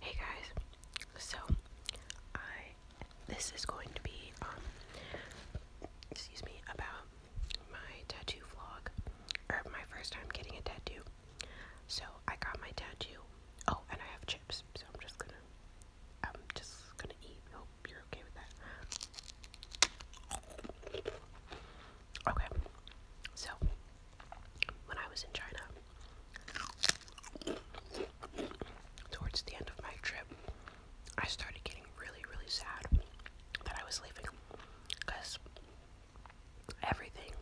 Hey guys, so I this is going to be um excuse me about my tattoo vlog or my first time getting a tattoo. So I got my tattoo. Oh, and I have chips, so I'm just gonna I'm just gonna eat. Hope you're okay with that. Okay, so when I was in China, Towards the end of my trip, I started getting really, really sad that I was leaving because everything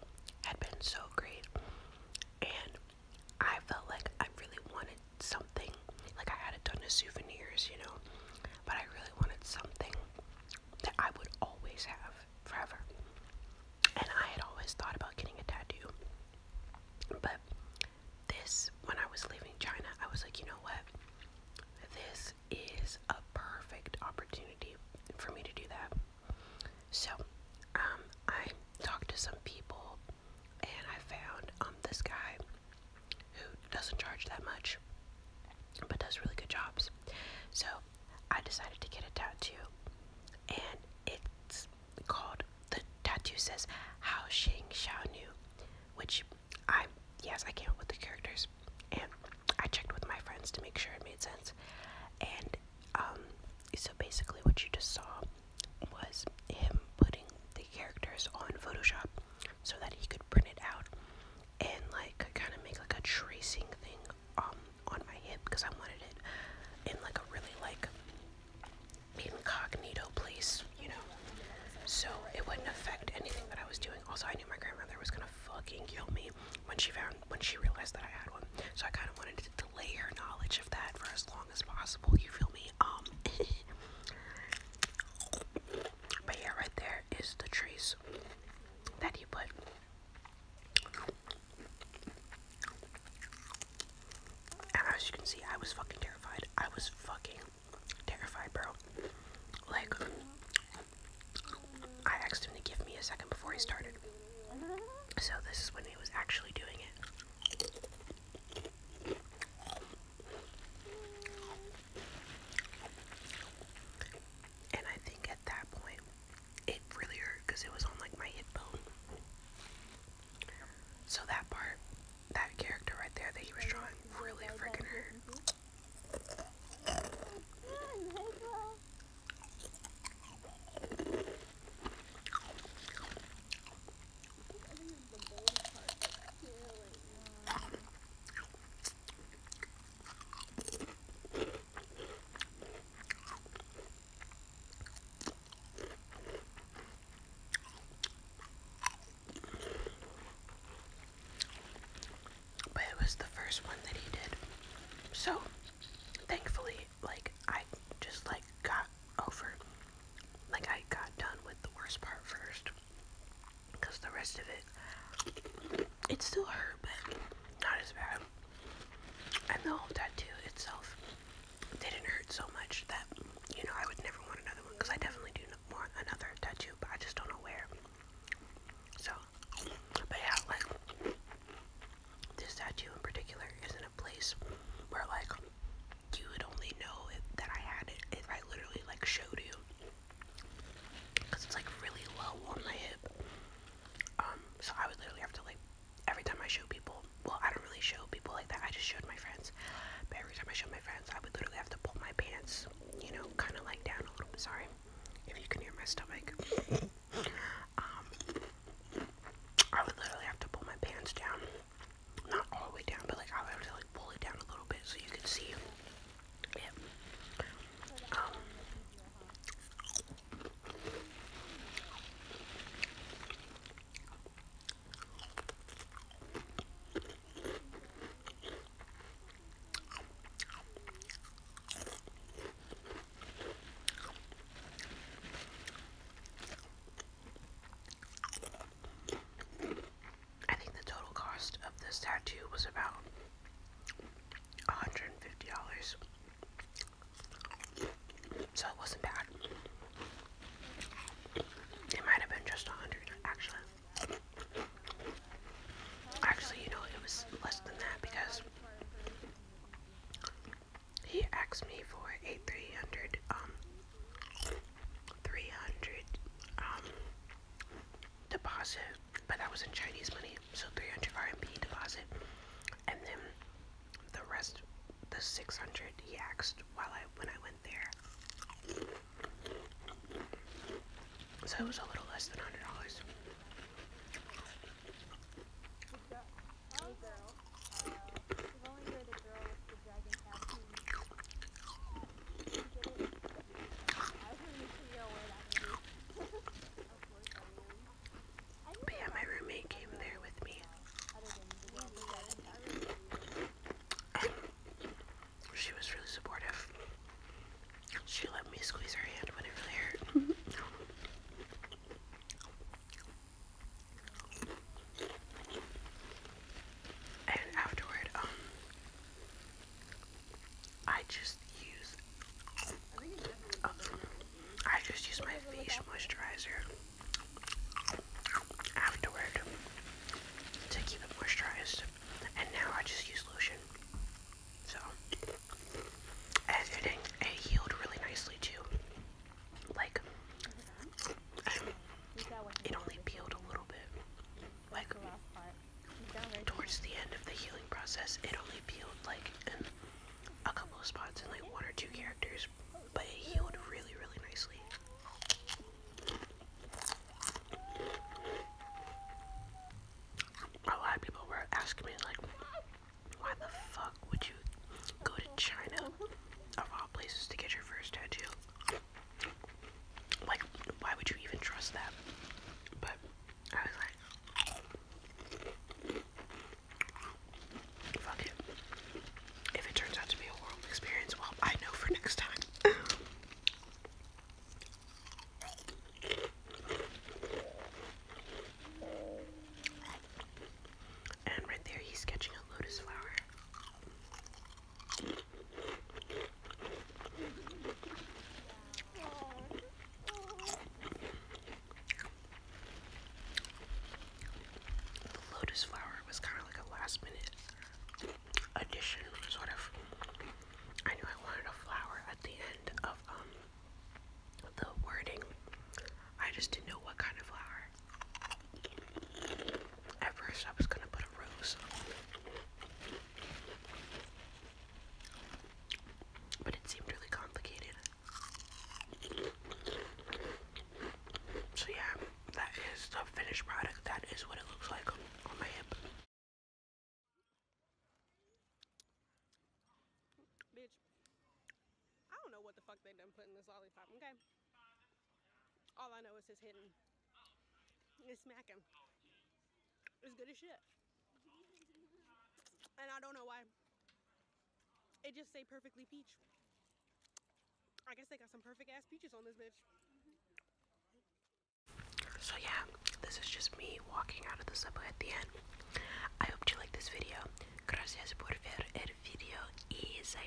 had been so great and I felt like I really wanted something. Like I had a ton of souvenirs, you know, but I really wanted something that I would always have forever. And I had always thought about getting a tattoo. But this, when I was leaving China, I was like, you know what? This is a perfect opportunity for me to do that. So, um, I talked to some people and I found um, this guy who doesn't charge that much but does really good jobs. So, I decided to get a tattoo, and it's called the tattoo says Hao Xing Xiao Nu, which I yes I came up with the characters, and I checked with my friends to make sure it made sense, and um so basically what you just saw was him putting the characters on Photoshop so that he could print it out and like kind of make like a tracing thing um on my hip because I wanted it in like a really like incognito place, you know. So it wouldn't affect anything that I was doing. Also, I knew my grandmother was gonna fucking kill me when she found when she realized that I had one. So I kind of wanted to delay her knowledge of that for as long as possible. You feel me? Um. but yeah, right there is the trace that he put. And as you can see, I was fucking terrified. I was fucking terrified, bro. Like, I asked him to give me a second before he started. So, this is when he was actually doing it. And I think at that point, it really hurt because it was on like my hip bone. So that part, that character right there that he was drawing, really freaking hurt. But it was the first one that he did. So thankfully, like I just like got over like I got done with the worst part first. Cause the rest of it it still hurt but not as bad. And the whole tattoo itself didn't hurt so much that, you know, I would never want another one because I definitely do want another tattoo, but I just don't know where. So, but yeah, like, this tattoo in particular is in a place where, like, you would only know that I had it if I literally, like, showed you. Because it's, like, really low on my hip. Um, so I would literally have to like every time I show people well I don't really show people like that, I just showed my friends. But every time I showed my friends I would literally have to pull my pants, you know, kinda like down a little bit sorry if you can hear my stomach. um I would literally have to pull my pants down. Not all the way down, but like I would have to like pull it down a little bit so you could see I think the total cost of this tattoo was about $150. So it wasn't bad. It might have been just 100 actually. Actually, you know, it was less than that because he asked me for a 300 um, deposit, but that was in Chinese money, so 300 RMB deposit, and then the rest, the 600 he asked while I when I went there. So it was a little less than hundred dollars yeah, my roommate came there with me. she was really supportive. She let me squeeze her hand when it really hurt. and afterward, um, I just use I just use my face moisturizer afterward to keep it moisturized, and now I just use lotion. So, editing it healed really nicely too. Like, it only peeled a little bit. Like, towards the end of the healing process, it only peeled like a couple of spots and like one or two characters, but it healed really, really nicely. A lot of people were asking me like, why the fuck would you go to China of all places to get your first tattoo? Like, why would you even trust that? But I was like, fuck it. If it turns out to be a horrible experience, well, I know for next time. And right there, he's sketching a lotus flower. The lotus flower was kind of like a last minute addition, sort of. I knew I wanted a flower at the end of um the wording. I just didn't know what kind of flower. At first, I was gonna put a rose. So, yeah, that is the finished product. That is what it looks like on my hip. Bitch, I don't know what the fuck they done put in this lollipop, okay? All I know is it's hidden. It's smacking. It's good as shit. And I don't know why. It just say perfectly peach. I guess they got some perfect ass peaches on this bitch. So yeah, this is just me walking out of the subway at the end. I hope you like this video. Gracias por ver video y se